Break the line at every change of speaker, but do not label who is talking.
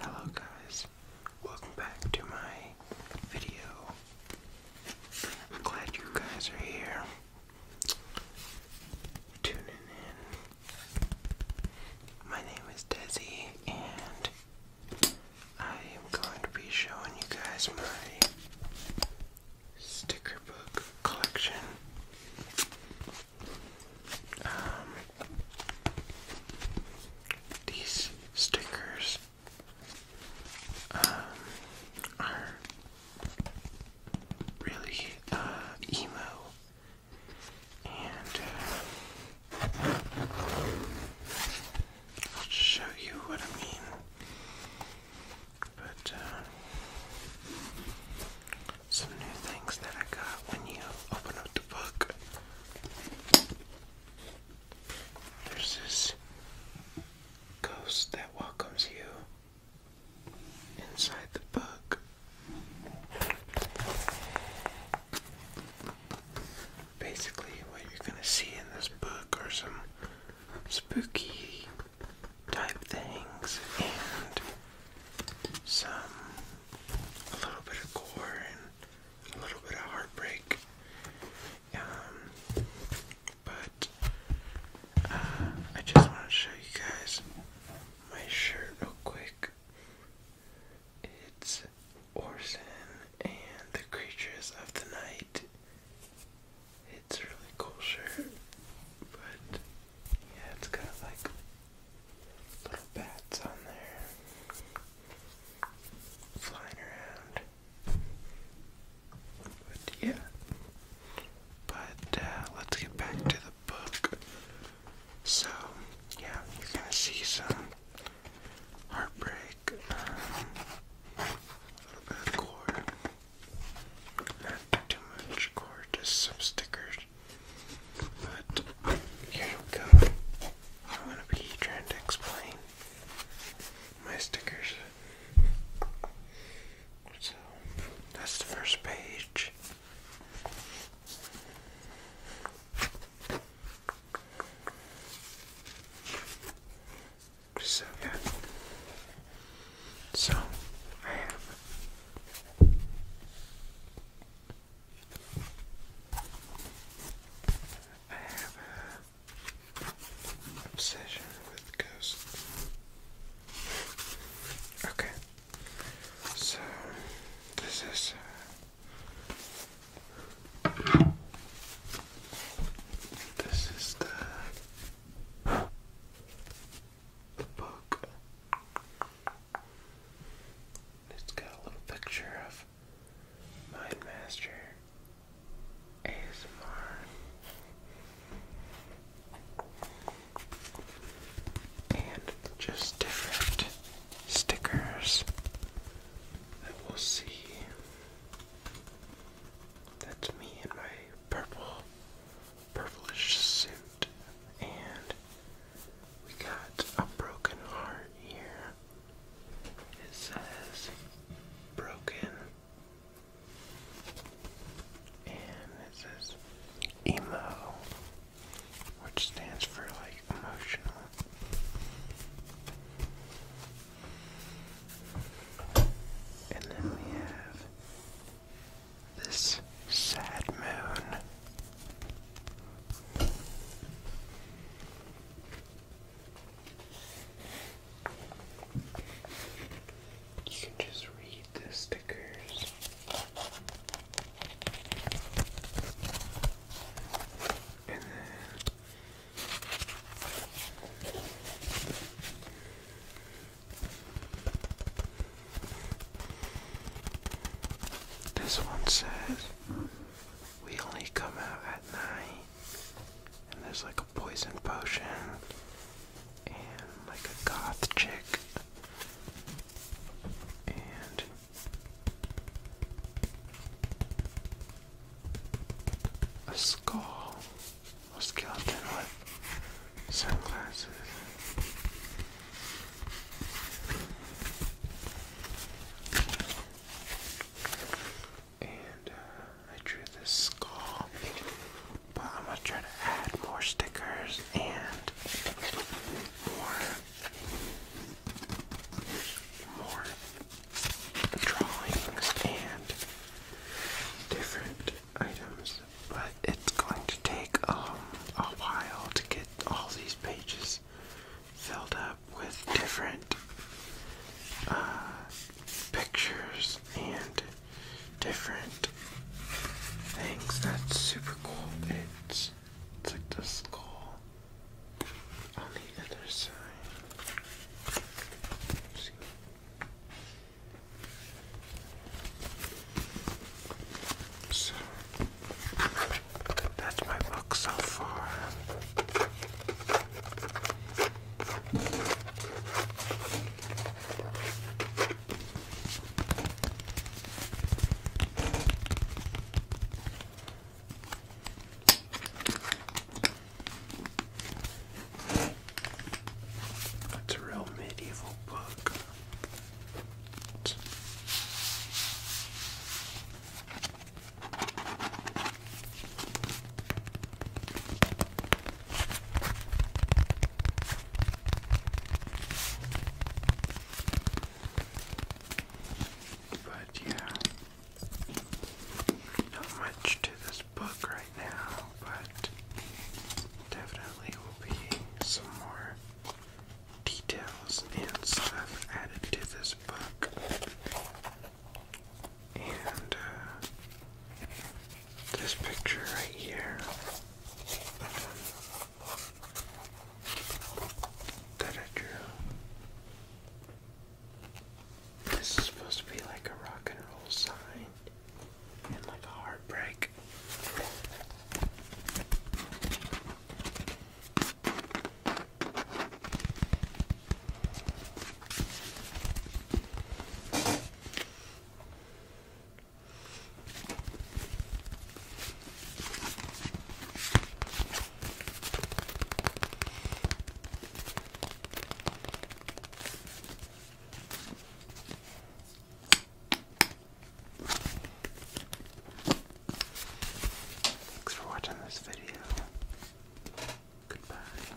Hello guys, welcome back to my video. I'm glad you guys are here. Tuning in. My name is Desi and I am going to be showing you guys my sticker book collection. Um, these stickers um, are really uh, emo and uh, I'll show you what I mean but uh, some new things that I got when you open up the book. There's this ghost that welcomes you inside the book. Basically, what you're gonna see in this book are some spooky type things and some a little bit of gore and a little bit of heartbreak. Um, but uh, I just want to show you guys my shirt real quick. It's Orson and the Creatures of the Night. It's a really cool shirt, but yeah, it's got like little bats on there flying around. But yeah, but uh, let's get back to the book. So yeah, you're gonna see some heartbreak, um, a little bit of gore, not too much core, just some stickers. But here we go. I'm gonna be trying to explain my stickers. So that's the first page. So yeah. So I have I have an obsession with ghosts. Okay. So this is uh, this is the, book. It's got a little picture of Mindmaster ASMR. And just different stickers that we'll see. That's me in my purple, purplish suit. And we got a broken heart here. It says broken. And it says emo, which stands for like emotional. And then we have this sad moon. You can just read the stickers. And then this one says we only come out at night, and there's like a poison potion and like a goth chick, a skull or skeleton with sunglasses. And uh, I drew this skull, but I'm gonna try to add more stickers and more more drawings and different items, but it's going to take um, a while to get all these pages filled up with different uh, pictures and different things. That's super cool. It's, like the skull on the other side. See. So that's my book so far. That's a real medieval book. But yeah, not much to this book right now, but definitely will be some more details and stuff added to this book. And uh, this picture right here that I drew. This is supposed to be like a rock and roll sign and like a heartbreak. Thanks for watching this video. Goodbye.